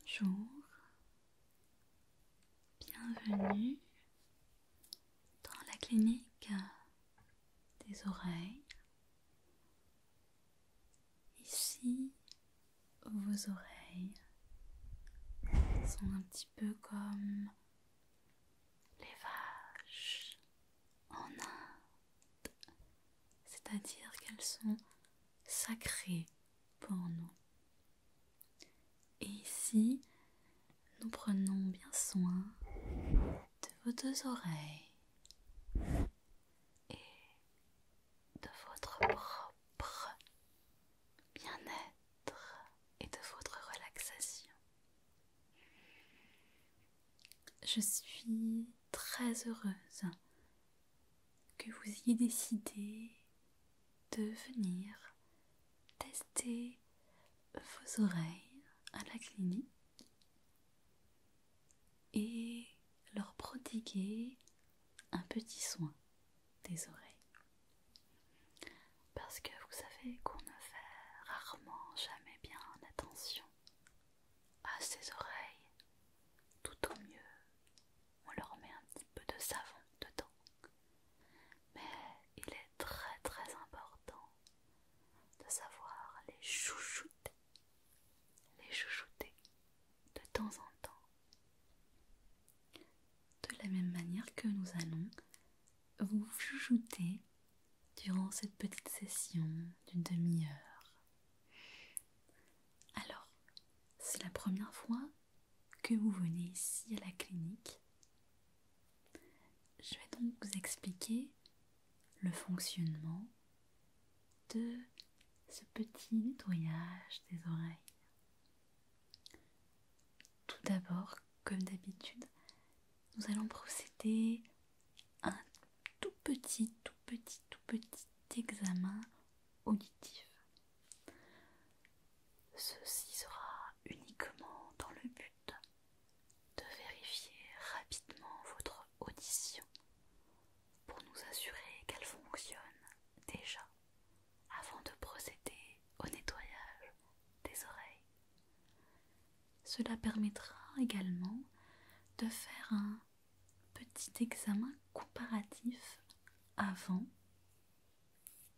Bonjour, bienvenue dans la clinique des oreilles. Ici, vos oreilles sont un petit peu comme les vaches en Inde, c'est-à-dire qu'elles sont sacrées pour nous. Et ici, nous prenons bien soin de vos deux oreilles et de votre propre bien-être et de votre relaxation. Je suis très heureuse que vous ayez décidé de venir tester vos oreilles à la clinique et leur prodiguer un petit soin des oreilles. Parce que vous savez qu'on ne fait rarement, jamais bien attention à ses oreilles. Tout au mieux, on leur met un petit peu de savon dedans. Mais il est très très important de savoir les chouchouter, les chouchouter de temps en temps. De la même manière que nous allons vous chouchouter durant cette petite session d'une demi-heure. Alors, c'est la première fois que vous venez ici à la clinique. Je vais donc vous expliquer le fonctionnement de ce petit nettoyage des oreilles. Tout d'abord, comme d'habitude, nous allons procéder un tout petit, tout petit, tout petit examen auditif. Ceci sera uniquement dans le but de vérifier rapidement votre audition pour nous assurer qu'elle fonctionne déjà avant de procéder au nettoyage des oreilles. Cela permettra également de faire un petit examen comparatif avant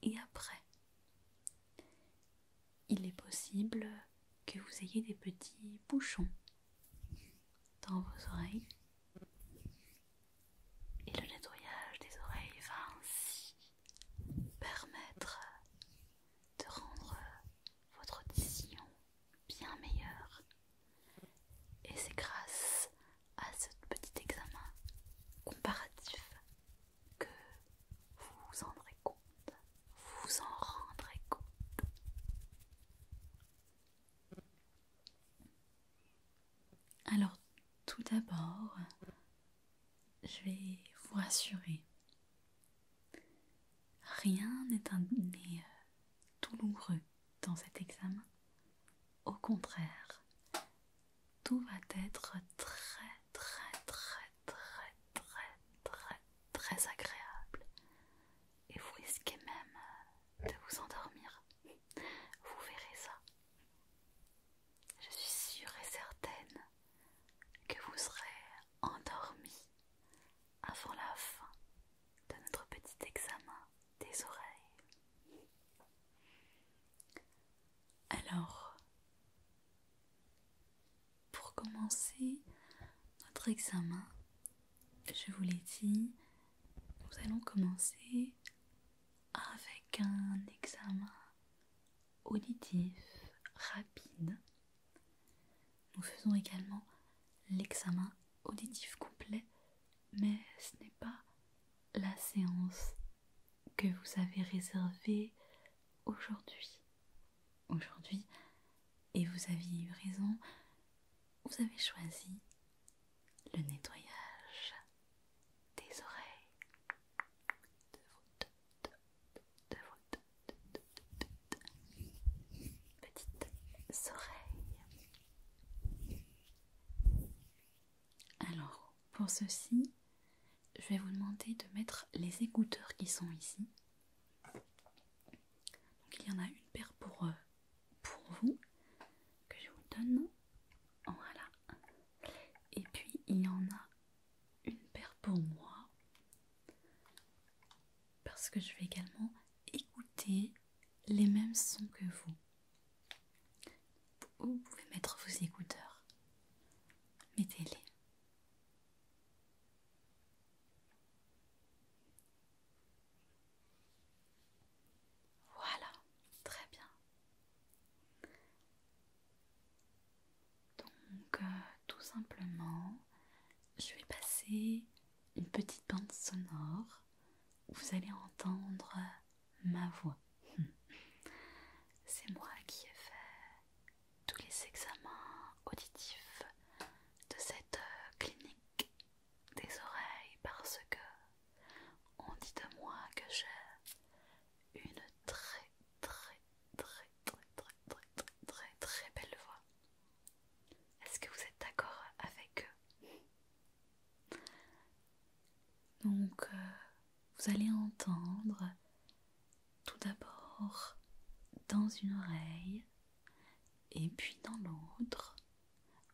et après. Il est possible que vous ayez des petits bouchons dans vos oreilles. Et le nettoyage des oreilles va ainsi permettre de rendre votre audition bien meilleur. Et c'est grâce à ce petit examen comparatif que vous vous en rendrez compte. Vous vous en rendrez compte. Alors, tout d'abord, je vais vous rassurer. Rien n'est euh, douloureux dans cet examen. Au contraire, tout va être très très très très très très très agréable et vous risquez même de vous endormir. Vous verrez ça. Je suis sûre et certaine que vous serez endormi avant la fin de notre petit examen des oreilles. Alors, pour commencer notre examen, je vous l'ai dit, nous allons commencer avec un examen auditif rapide nous faisons également l'examen auditif complet, mais ce n'est pas la séance que vous avez réservée aujourd'hui. Aujourd'hui, et vous aviez eu raison, vous avez choisi le nettoyage des oreilles petites oreilles. Alors, pour ceci, je vais vous demander de mettre les écouteurs qui sont ici. Donc, il y en a une paire pour, euh, pour vous que je vous donne. Voilà. Et puis, il y en a une paire pour moi parce que je vais également écouter les mêmes sons que vous. Vous pouvez mettre vos écouteurs. Mettez-les. Voilà, très bien. Donc, euh, tout simplement, je vais passer une petite bande sonore vous allez entendre ma voix. C'est moi qui ai fait tous les examens auditifs de cette euh, clinique des oreilles parce que on dit de moi que j'ai une très très très très très très très très belle voix. Est-ce que vous êtes d'accord avec eux Donc, euh, vous allez entendre tout d'abord dans une oreille et puis dans l'autre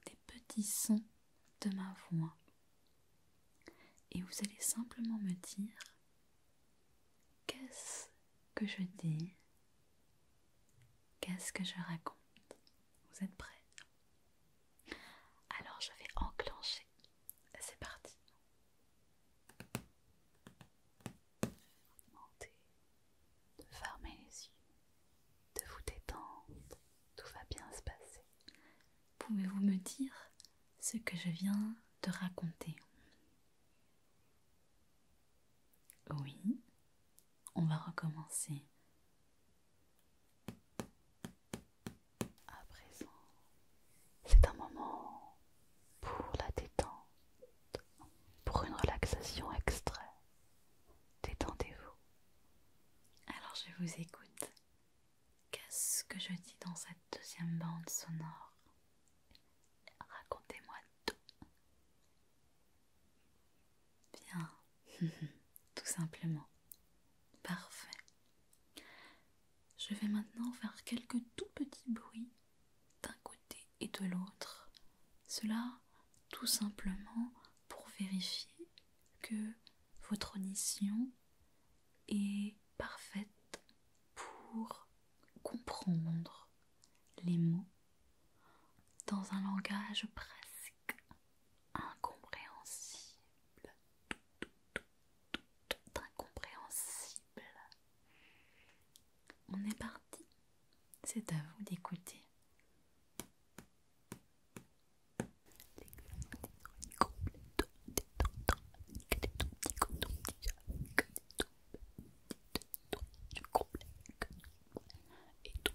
des petits sons de ma voix. Et vous allez simplement me dire qu'est-ce que je dis Qu'est-ce que je raconte Vous êtes prêts Alors je vais enclencher. C'est parti. Je les yeux, de vous détendre. Tout va bien se passer. Pouvez-vous me dire ce que je viens de raconter Oui, on va recommencer. À présent, c'est un moment pour la détente, pour une relaxation extra. Détendez-vous. Alors je vous écoute. Qu'est-ce que je dis dans cette deuxième bande sonore Racontez-moi Bien, tout simplement. Parfait. Je vais maintenant faire quelques tout petits bruits d'un côté et de l'autre. Cela tout simplement pour vérifier que votre audition est parfaite pour comprendre les mots dans un langage presque incompréhensible, tout, incompréhensible. On est parti, c'est à vous d'écouter. Et tout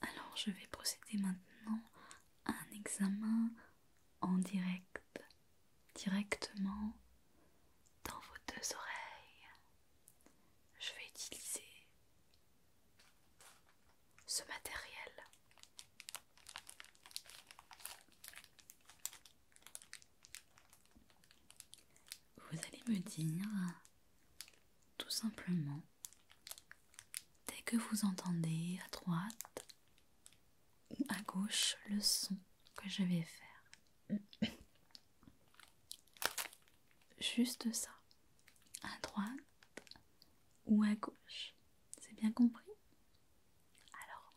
Alors je vais procéder maintenant à un examen en direct, directement dans vos deux oreilles. Je vais utiliser ce matériel. Vous allez me dire tout simplement dès que vous entendez à droite ou à gauche le son que je vais faire. Juste ça. À droite ou à gauche. C'est bien compris Alors,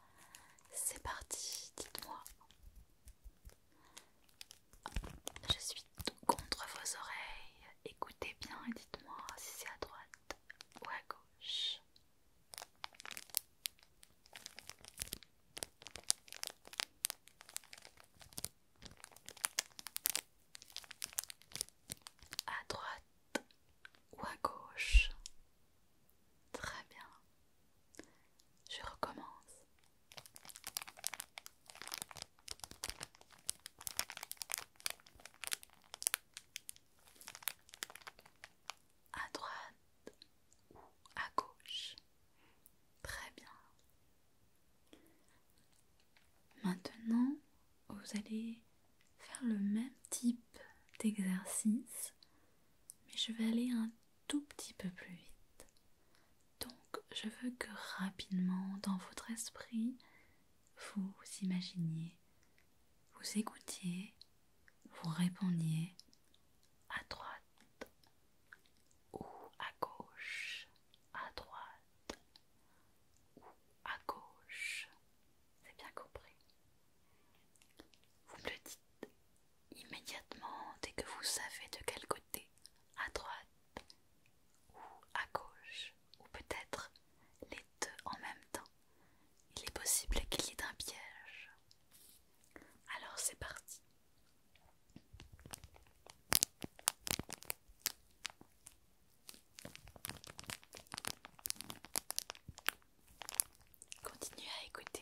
c'est parti, dites-moi. Je contre vos oreilles, écoutez bien et dites-moi si c'est à droite ou à gauche. À droite ou à gauche Très bien. Je recommence. À droite ou à gauche. Très bien. Maintenant, vous allez faire le même type d'exercice, mais je vais aller un tout petit peu plus vite. Donc, je veux que rapidement, dans votre esprit, vous imaginiez, vous écoutiez, vous répondiez à droite ou à gauche, à droite ou à gauche. C'est bien compris. Vous le dites immédiatement dès que vous savez de quel côté, à droite ou à gauche, ou peut-être les deux en même temps. Il est possible qu'il y ait un piège. Alors c'est parti. Continuez à écouter.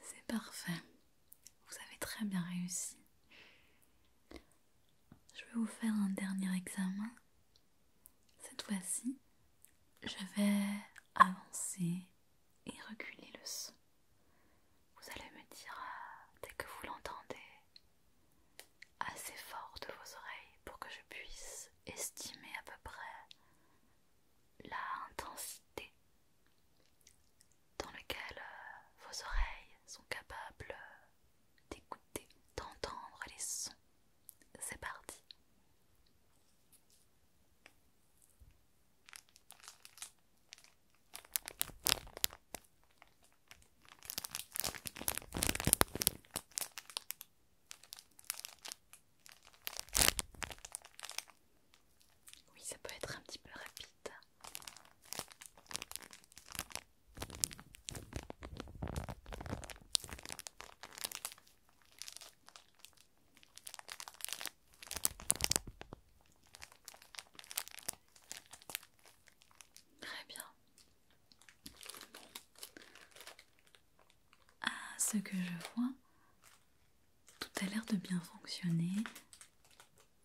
C'est parfait. Vous avez très bien réussi. Je vais vous faire un dernier examen. Cette fois-ci, je vais avancer et reculer le son. Vous allez me dire euh, dès que vous l'entendez assez fort de vos oreilles pour que je puisse estimer à peu près la intensité dans laquelle euh, vos oreilles sont capables euh, d'écouter, d'entendre les sons. C'est parti. Oui, ça peut être un petit peu rapide. Très bien à ce que je vois, tout a l'air de bien fonctionner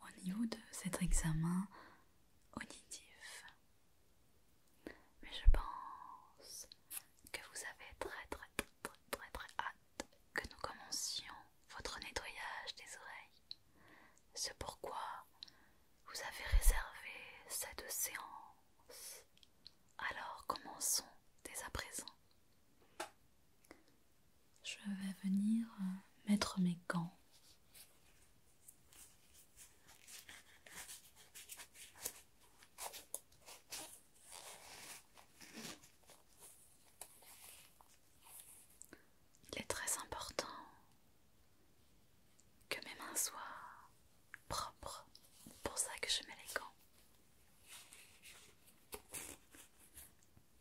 au niveau de cet examen auditif. Mais je pense que vous avez très très très très très, hâte que nous commencions votre nettoyage des oreilles. C'est pourquoi vous avez réservé cette séance. Alors commençons dès à présent. Je vais venir euh, mettre mes gants. Il est très important que mes mains soient propres. C'est pour ça que je mets les gants.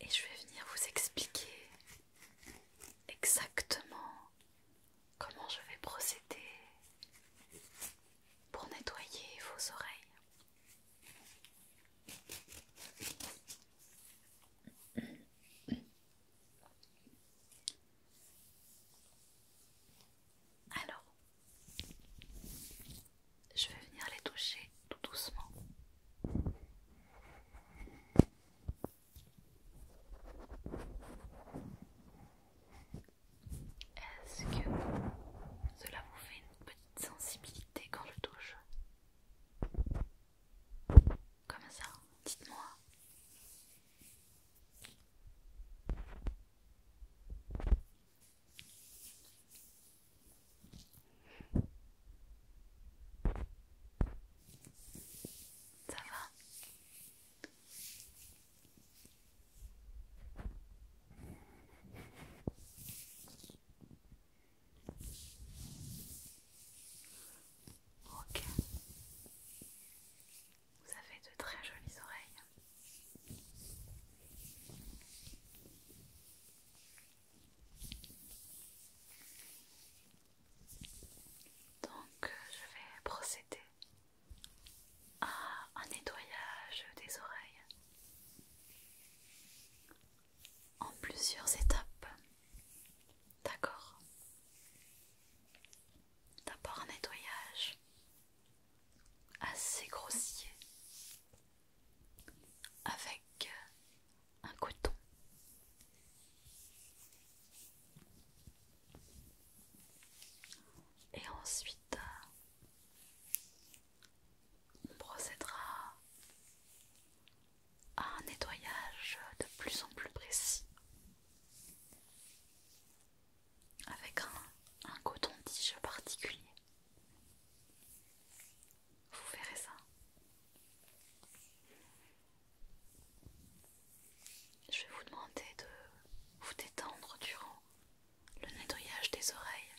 Et je vais venir vous expliquer exactement comment je vais procéder pour nettoyer vos oreilles. Alors, je vais venir les toucher tout doucement. Est-ce que cela vous fait une petite sensibilité quand je touche Comme ça, dites-moi. Ça va Ok. Vous avez de très jolies oreilles. Donc je vais procéder à un nettoyage des oreilles en plusieurs étapes. D'accord D'abord un nettoyage assez grossier avec un coton. Et ensuite, on procédera à un nettoyage de plus en plus précis avec un, un coton-tige particulier. Vous verrez ça. Je vais vous demander de vous détendre durant le nettoyage des oreilles,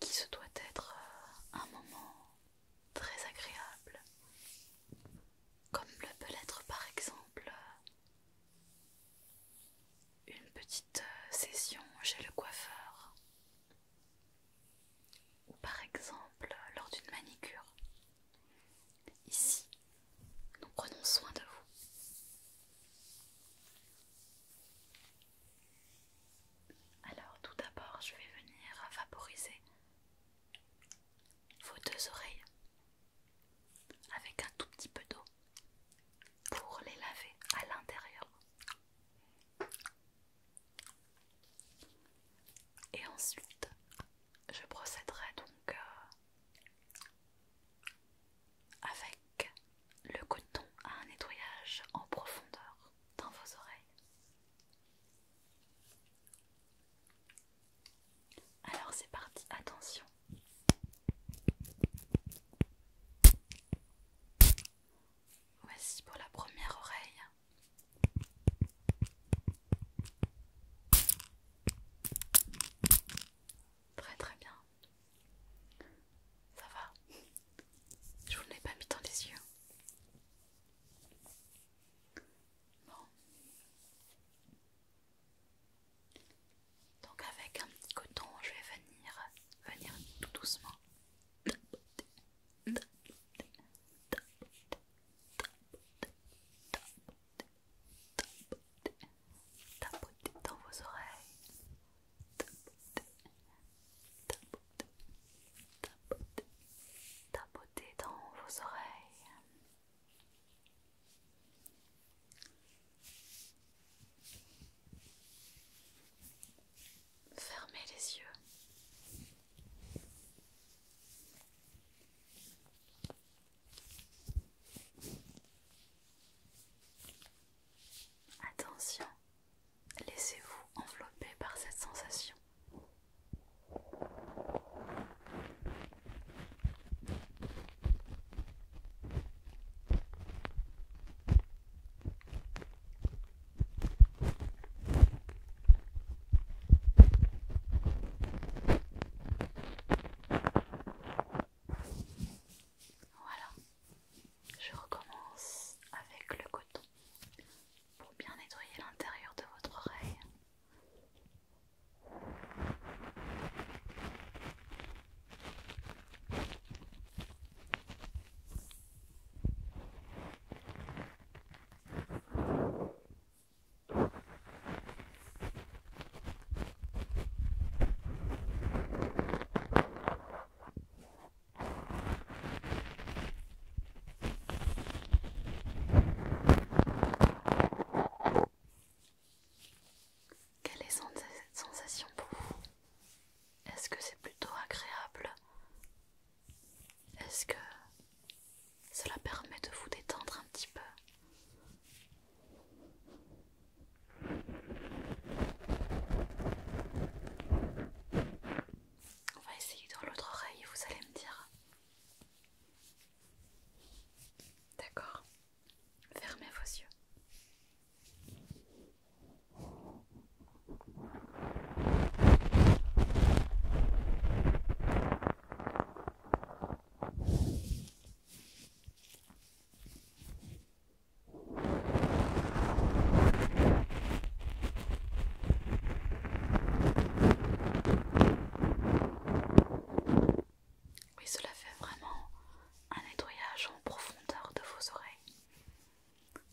qui se doit être euh, un moment très agréable, comme le peut l'être par exemple une petite euh, session chez le coiffeur ou par exemple lors d'une manicure. Ici, nous prenons soin de vous. Alors tout d'abord, je vais venir vaporiser vos deux oreilles avec un tout petit peu d'eau pour les laver à l'intérieur. Et ensuite, je procéderai donc euh, avec le coton à un nettoyage en profondeur dans vos oreilles. Alors c'est parti, attention, Voici pour la première oreille. Très très bien. Ça va Je vous l'ai pas mis dans les yeux. Donc avec un petit coton, je vais venir, venir tout doucement. Tapoter dans vos oreilles. tapoter dans vos oreilles. Fermez les yeux. Attention, laissez-vous envelopper par cette sensation. Voilà, je recommence avec le coton pour bien nettoyer l'intérieur de votre oreille. Quelle est cette sensation pour vous est-ce que c'est plutôt agréable Est-ce que cela permet de vous détendre un petit peu On va essayer dans l'autre oreille vous allez me dire. D'accord. Fermez vos yeux. Oui, cela fait vraiment un nettoyage en profondeur de vos oreilles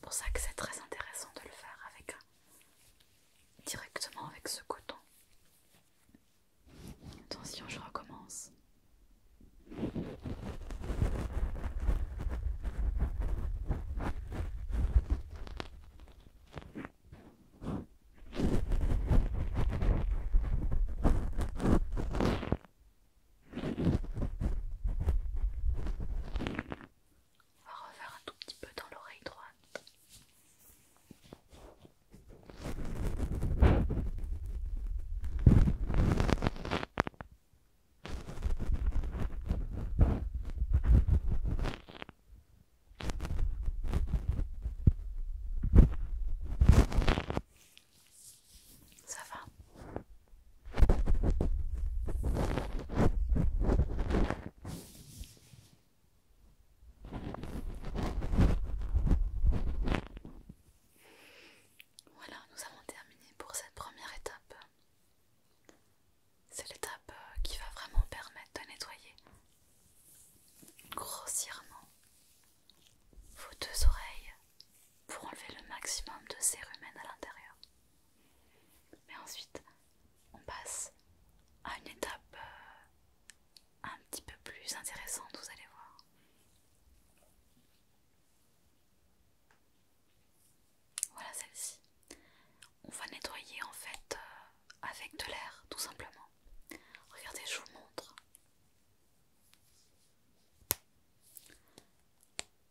pour ça que c'est très intéressant de le faire avec directement avec ce coton. Attention, je recommence. On va refaire un tout petit peu dans l'oreille droite. Ça va Voilà, nous avons terminé pour cette première étape. C'est l'étape euh, qui va vraiment permettre de nettoyer grossièrement vos deux oreilles pour enlever le maximum de sérumène à l'intérieur. Mais ensuite, on passe à une étape euh, un petit peu plus intéressante, vous allez voir. Voilà celle-ci. On va nettoyer en fait euh, avec de l'air, tout simplement. Regardez, je vous montre.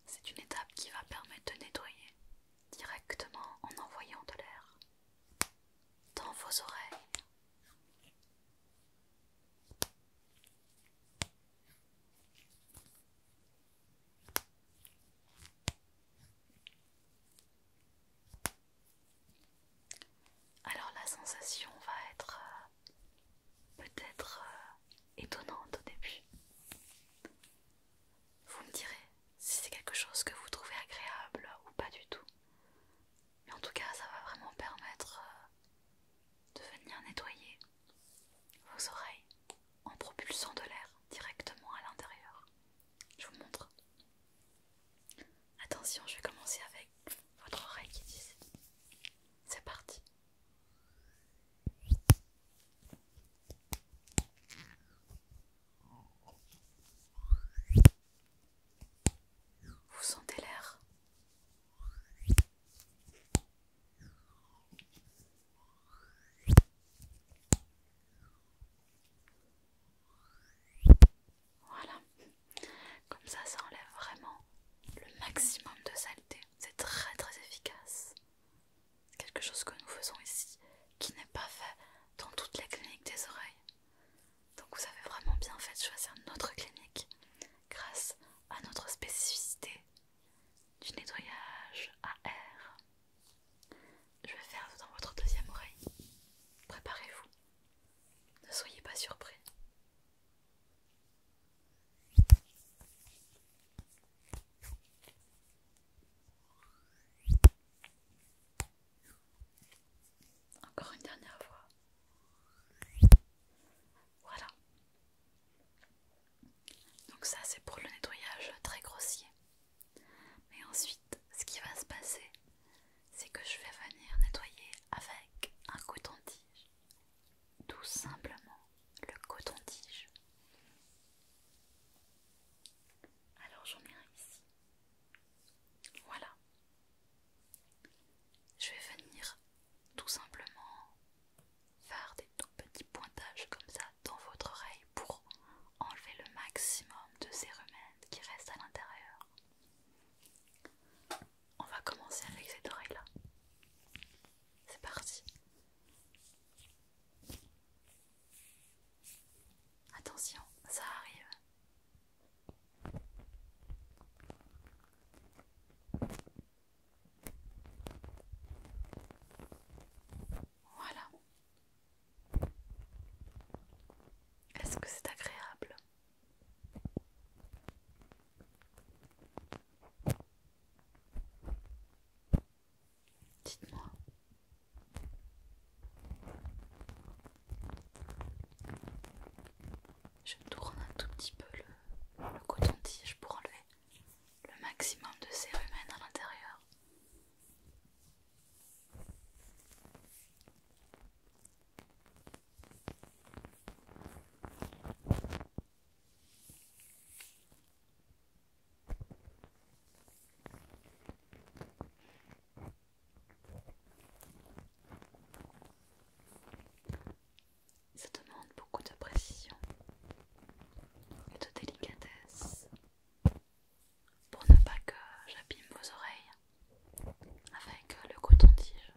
C'est une étape qui va permettre de nettoyer directement en envoyant de l'air dans vos oreilles. Alors la sensation va être euh, peut-être euh, étonnante au début. Vous me direz si c'est quelque chose que vous trouvez agréable ou pas du tout. Mais en tout cas, ça va vraiment permettre euh, de venir nettoyer vos oreilles en propulsant de l'air directement à l'intérieur. Je vous montre. Attention, je vais commencer avec votre oreille qui dit c'est parti. Vous sentez l'air Voilà, comme ça ça enlève vraiment le maximum de saleté, c'est très très efficace quelque chose que nous faisons ici qui n'est pas fait dans toutes les cliniques des oreilles. Donc vous avez vraiment bien fait de choisir notre clinique grâce à notre spécificité du nettoyage à air. Je vais faire dans votre deuxième oreille. Préparez-vous. Ne soyez pas surpris. Encore une dernière fois. Voilà. Donc ça c'est pour le nettoyage très grossier. Mais ensuite, ce qui va se passer, c'est que je vais venir nettoyer avec un coton-tige tout simplement le coton-tige. Alors j'en ai ici. Voilà. Je vais venir tout simplement faire des tout petits pointages comme ça dans votre oreille pour enlever le maximum de ces remèdes qui restent à l'intérieur. On va commencer avec cette oreille là. C'est parti. Attention, ça arrive. Voilà. Est-ce que c'est agréable Dites-moi. Je tourne un tout petit peu le, coton-tige pour enlever le maximum de sérumène à l'intérieur. Ça demande beaucoup de précision et de délicatesse pour ne pas que j'abîme vos oreilles avec le coton-tige.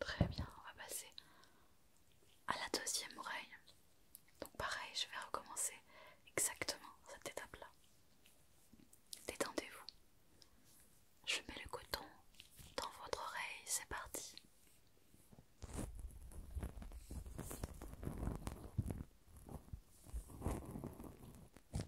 Très bien, on va passer à la deuxième oreille. Donc pareil, je vais recommencer exactement cette étape-là. Détendez-vous. Je mets le coton dans votre oreille, c'est parti.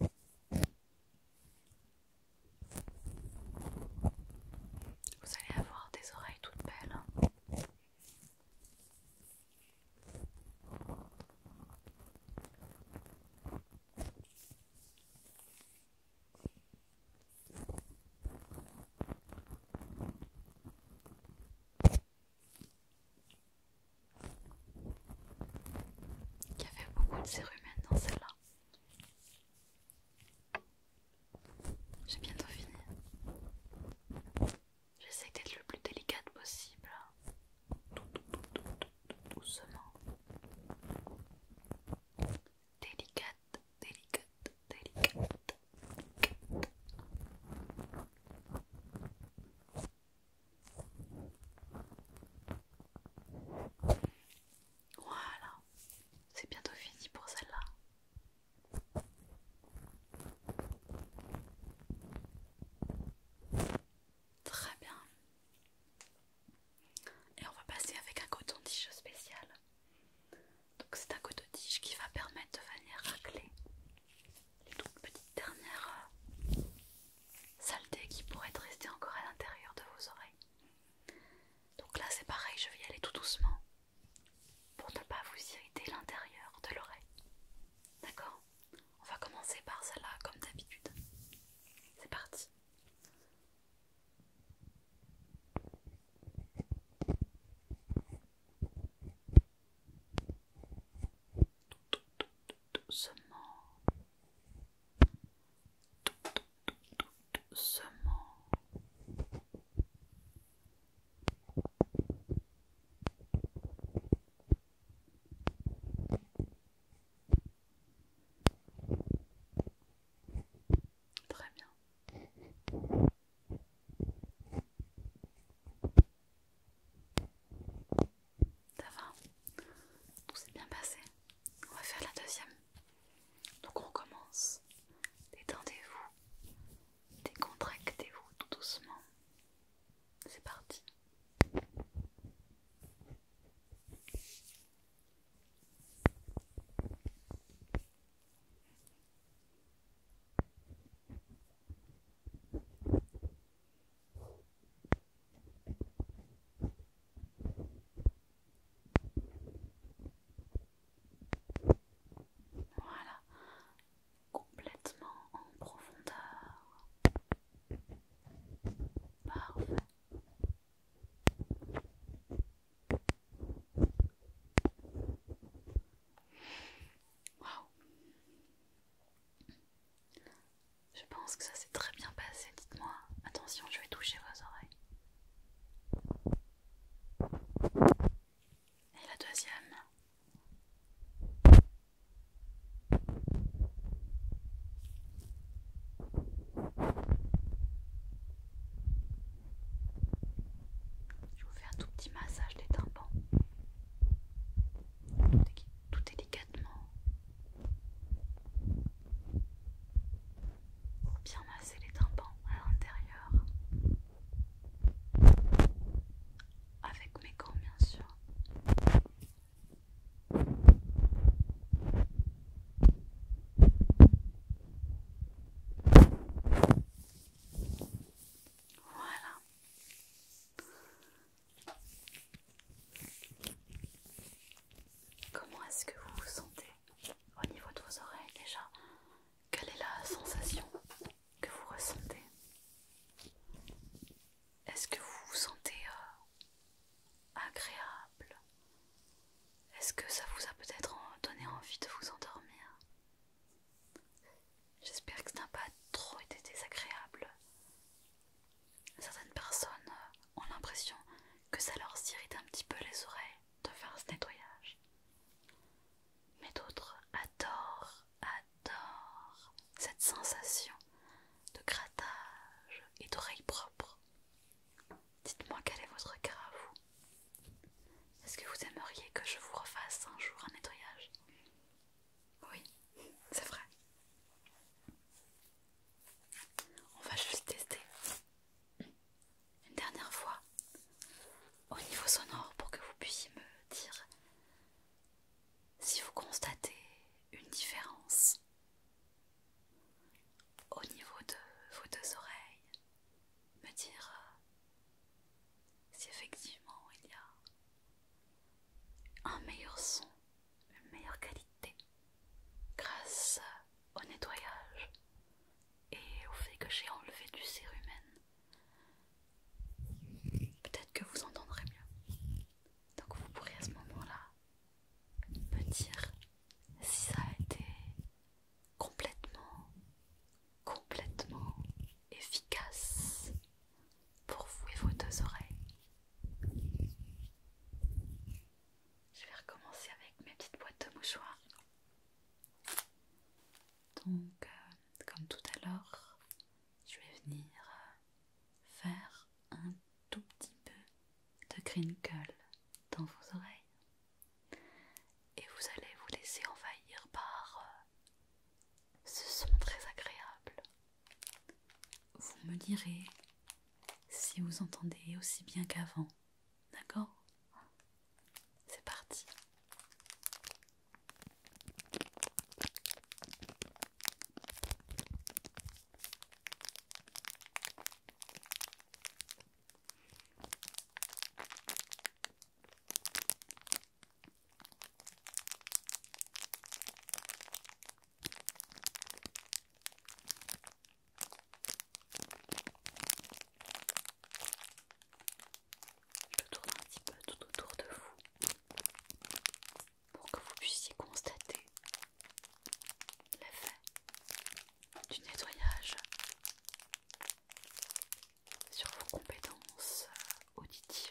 Vous allez avoir des oreilles toutes belles. Hein. Il y avait beaucoup de cérumen dans celle-là. J'ai bientôt fini. J'essaie d'être le plus délicate possible. doucement. délicate, délicate. délicate. Voilà, c'est bientôt fini pour celle-là. Très bien. Et on va passer avec un coton-tige spécial. Donc c'est un coton-tige qui va permettre de venir racler les toutes petites dernières euh, saleté qui pourrait rester encore à l'intérieur de vos oreilles. Donc là c'est pareil, je vais y aller tout doucement pour ne pas vous irriter l'intérieur de l'oreille. D'accord On va commencer par cela comme d'habitude. C'est parti doucement, doucement. Très bien. Ça va Tout s'est bien passé On va faire la deuxième. Donc on commence. Détendez-vous. Décontractez-vous tout doucement. C'est parti. Voilà, complètement en profondeur. Parfait. Je pense que ça s'est très bien passé, dites-moi. Attention, je vais toucher vos oreilles. Et la deuxième. Je vous fais un tout petit massage des tympans. Tout délicatement. Pour bien masser les tympans à l'intérieur. Avec mes gants bien sûr. Voilà. Comment est-ce que vous vous sentez au niveau de vos oreilles déjà Quelle est la sensation que vous ressentez Est-ce que vous vous sentez euh, agréable Est-ce que ça vous a peut-être donné envie de vous endormir J'espère que ça n'a pas trop été désagréable certaines personnes euh, ont l'impression que ça leur irrite un petit peu les oreilles de faire ce nettoyage. Mais d'autres adorent, adorent cette sensation de grattage et d'oreilles propres. Dites-moi quel est votre cas à vous. Est-ce que vous aimeriez que je vous refasse un jour un nettoyage Oui, c'est vrai. On va juste tester une dernière fois au niveau sonore pour que vous puissiez me dire si vous constatez une différence au niveau de vos deux oreilles, me dire si effectivement il y a un meilleur son, une meilleure qualité grâce au nettoyage et au fait que j'ai enlevé du cérumen. Peut-être que vous entendrez mieux. Donc vous pourrez à ce moment-là me dire si ça a été complètement, complètement efficace pour vous et vos deux oreilles. Je vais recommencer avec mes petites boîtes de mouchoirs. Donc, euh, comme tout à l'heure, je vais venir euh, faire un tout petit peu de crinkle dans vos oreilles. Et vous allez vous laisser envahir par euh, ce son très agréable. Vous me direz si vous entendez aussi bien qu'avant, d'accord C'est parti. Je tourne un petit peu tout autour de vous pour que vous puissiez constater l'effet du nettoyage sur vos compétences auditives.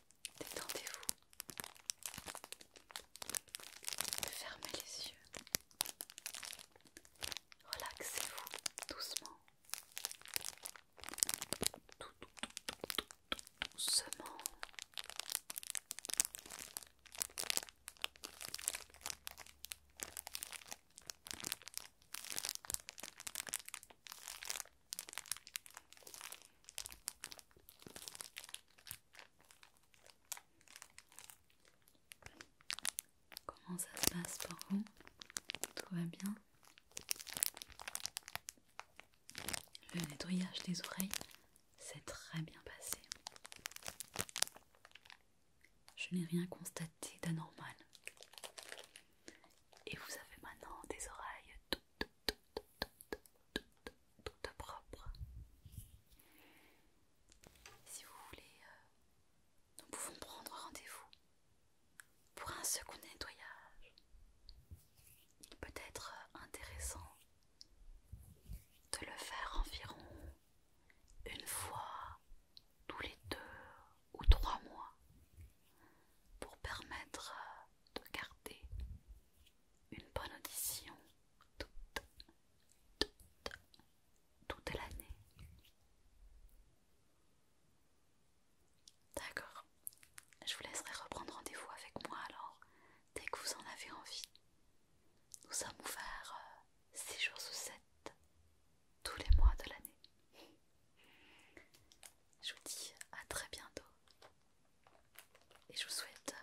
Détendez-vous. Fermez les yeux. Relaxez-vous doucement. doucement. Comment ça se passe pour vous Tout va bien Le nettoyage des oreilles s'est très bien passé. Je n'ai rien constaté d'anormal. Et vous avez maintenant des oreilles tout, propre. Si vous voulez, euh, nous pouvons prendre rendez-vous pour un second nettoyage. Il peut être euh, intéressant de le faire environ une fois tous les deux ou trois mois pour permettre euh, de garder une bonne audition toute, toute, toute l'année. D'accord. Je vous laisserai reprendre rendez-vous avec moi alors, dès que vous en avez envie. Nous sommes ouverts 6 euh, jours ou 7, tous les mois de l'année. Je vous dis à très bientôt et je vous souhaite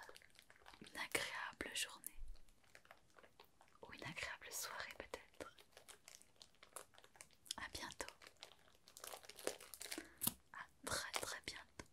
une agréable journée ou une agréable soirée peut-être. À bientôt. À très très bientôt.